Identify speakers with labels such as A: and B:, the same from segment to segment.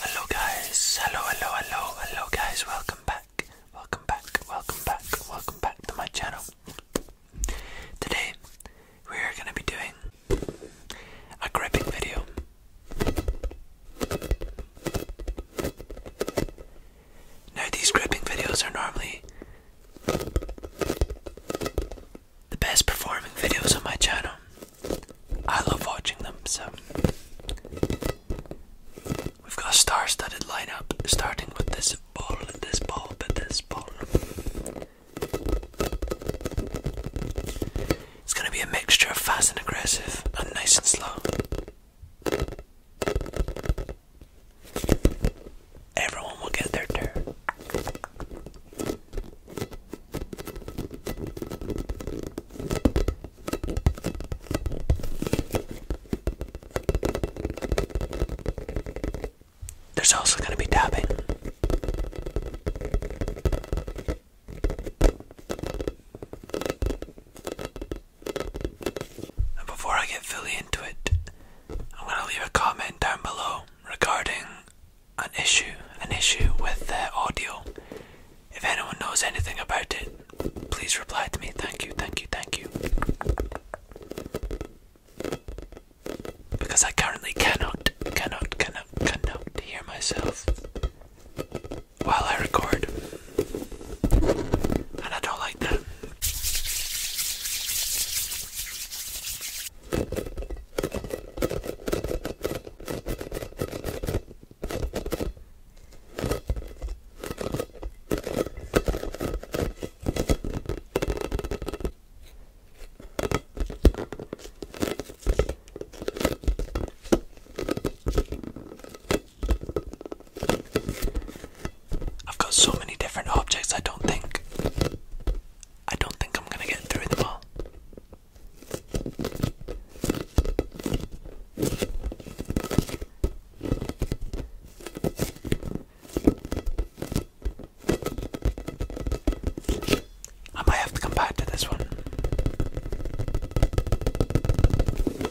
A: Hello guys, hello, hello, hello, hello guys, welcome back, welcome back, welcome back, welcome back to my channel. Today we are going to be doing a gripping video. Now, these gripping videos are normally the best performing videos on my channel. I love watching them, so. We've got a star studded lineup starting with this ball, this ball, but this ball. It's going to be a mixture of fast and aggressive and nice and slow. Everyone will get their turn. There's also going to be dabbing before I get fully into it, I'm going to leave a comment down below regarding an issue, an issue with the audio. If anyone knows anything about it, please reply to me. Thank you, thank you, thank you. Because I currently cannot, cannot, cannot, cannot hear myself while I record. And I don't like that. I've got so many different objects I don't think I don't think I'm gonna get through them all. I might have to come back to this one.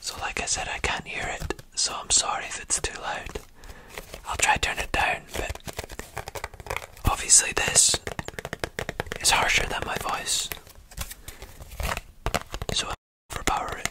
A: So, like I said, I can't hear it, so I'm sorry if it's too loud. I'll try turn it down, but obviously this is harsher than my voice, so i overpower it.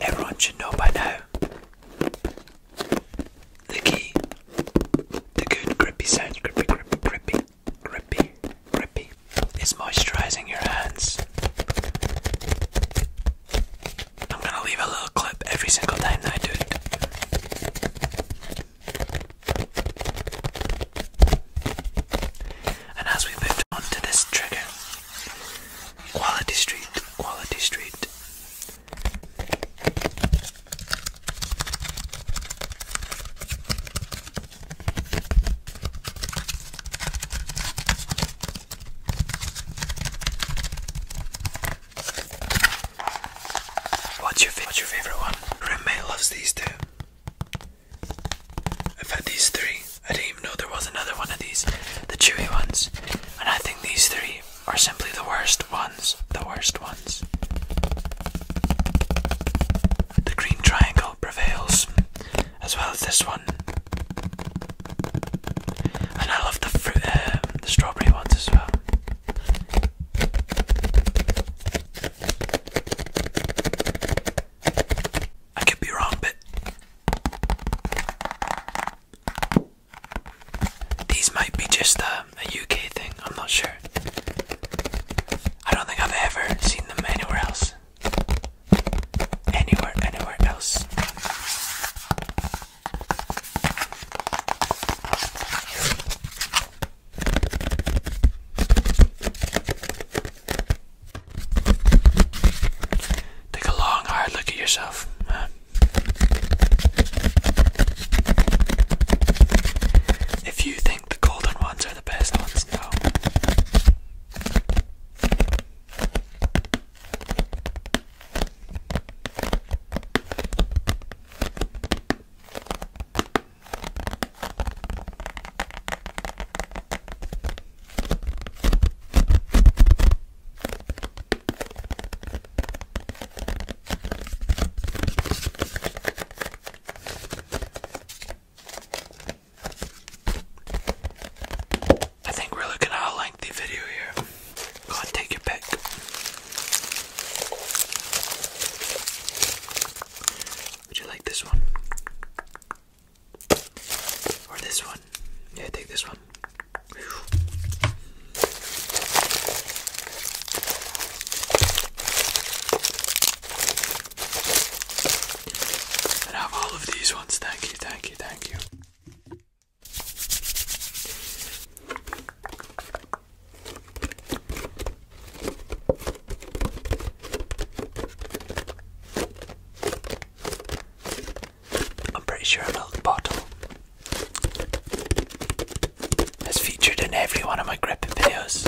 A: Everyone should know by now the key, the good grippy sound, grippy, grippy, grippy, grippy, grippy, is moisturising your hands. I'm gonna leave a little clip every single time that I do it. And as we moved on to this trigger, Quality Street, Quality Street. What's your, favorite one? Grandma loves these two. I've had these three. I didn't even know there was another one of these, the chewy ones. And I think these three are simply the worst ones. The worst ones. The green triangle prevails, as well as this one. And I love the fruit, uh, the strawberry ones as well. I could be wrong, but these might be just um, a, a UK thing. I'm not sure. I don't think I've ever seen them anywhere else. Anywhere, anywhere else. Take a long, hard look at yourself. If you think the golden ones are the best ones, no. I think we're looking at a lengthy video here. Go on, take your pick. Would you like this one? Or this one? Yeah, take this one. And have all of these ones. Thank you, thank you, thank you. I'm pretty sure a milk bottle is featured in every one of my gripping videos.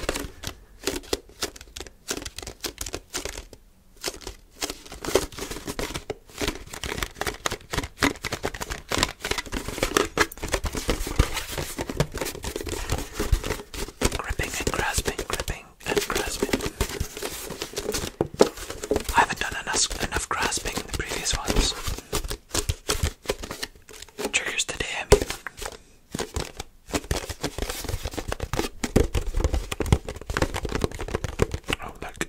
A: Gripping and grasping, gripping and grasping. I haven't done enough, enough grasping in the previous ones. Triggers today, I Oh, look.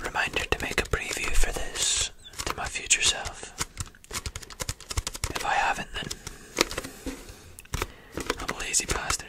A: Reminder to make a preview for this to my future self. If I haven't, then I'm a lazy bastard.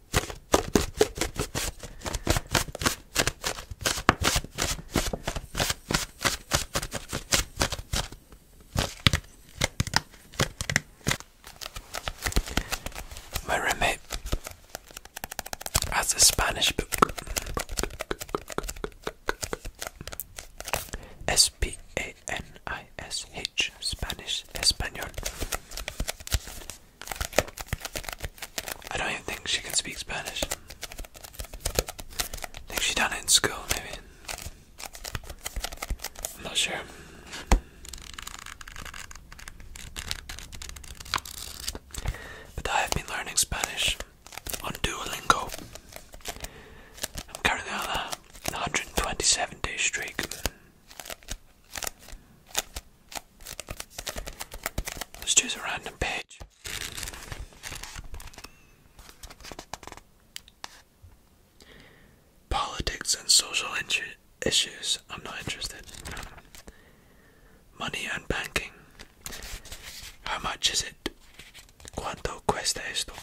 A: My roommate has a Spanish book. S P A N I S H Spanish Espanol I don't even think she can speak Spanish. think she done it in school, maybe. I'm not sure. But I have been learning Spanish on Duolingo. I'm currently on a 127 day streak. Let's choose a random page. Politics and social issues. I'm not interested. Money and banking. How much is it? Cuánto cuesta esto?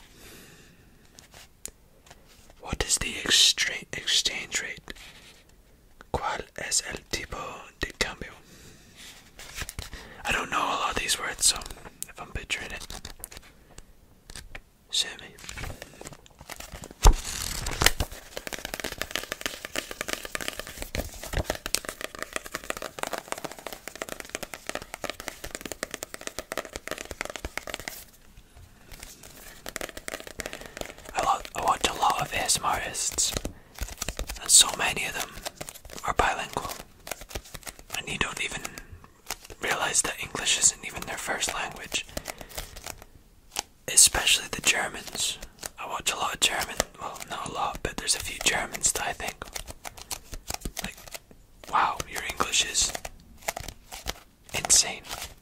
A: What is the exchange rate? ¿Cuál es el tipo de I don't know a lot of these words, so if I'm butchering it, sue me. I, watch a lot of ASMR artists, and so many of them are bilingual, and you don't even realize that English isn't even their first language. Especially the Germans. I watch a lot of German, well, not a lot, but there's a few Germans that I think, wow, your English is insane.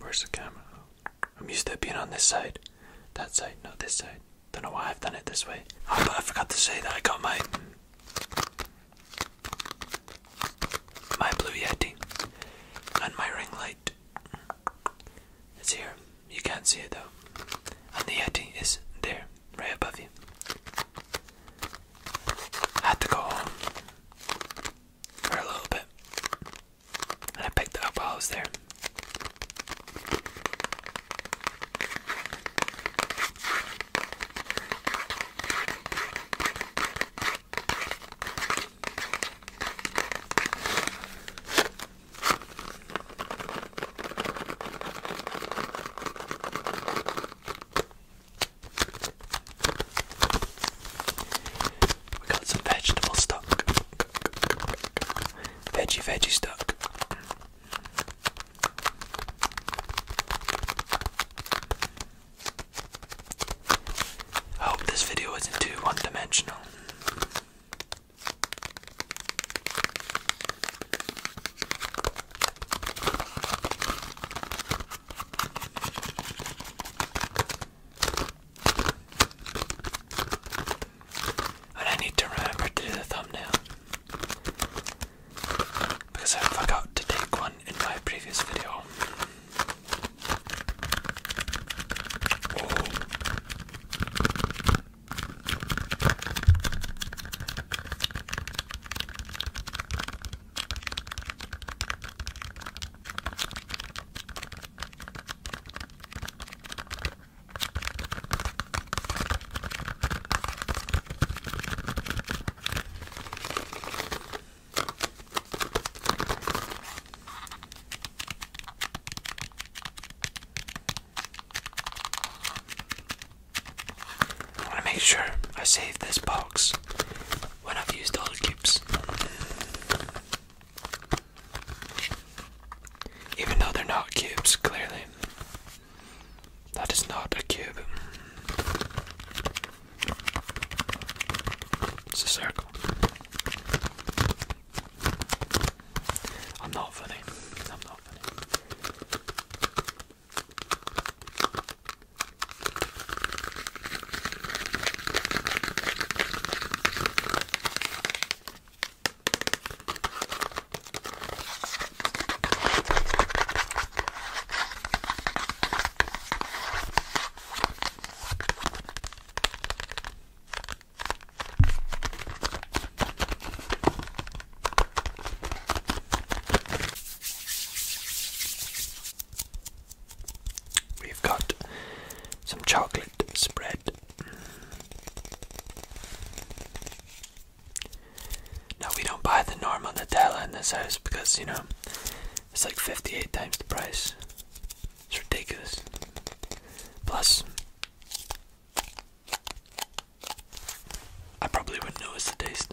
A: Where's the camera? I'm used to being on this side that side, not this side. Don't know why I've done it this way. Oh, I forgot to say that I got my my blue yeti and my ring light. It's here. You can't see it though. And the yeti is there, right above you. I had to go home for a little bit, and I picked up all those there. We got some vegetable stock veggie veggie stuck. hope this video isn't too one dimensional. And I need to remember to do the thumbnail. Because I forgot to take one in my previous video. I want to make sure I save this box when I've used all the cubes. Even though they're not cubes, clearly. That is not a cube. It's a circle. I'm not funny. I'm not funny. We've got some chocolate spread, No, we don't buy the norm on the Della in this house because you know it's like 58 times the price. It's ridiculous. Plus, I probably wouldn't notice the taste.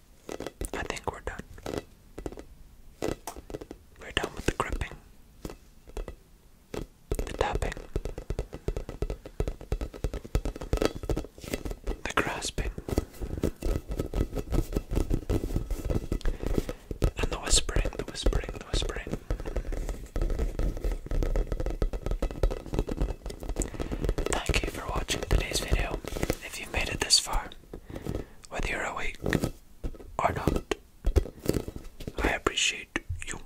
A: I think we're done. We're done with the gripping, the tapping, the grasping, and the whispering, the whispering, the whispering. Thank you for watching today's video. If you've made it this far, whether you're awake or not. I appreciate you.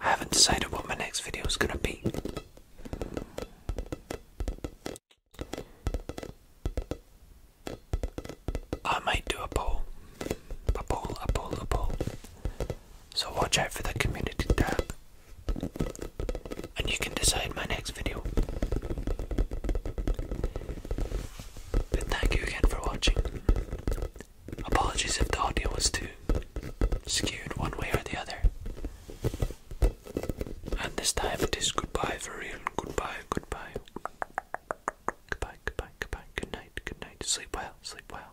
A: I haven't decided what my next video is gonna be. I might do a poll. A poll, a poll, a poll. So watch out for the community tab and you can decide my next video. But thank you again for watching. Apologies if the audio was too skewed one way or the other. And this time it is goodbye for real. Goodbye, goodbye. Goodbye, goodbye, goodbye. Good night, good night. Sleep well, sleep well.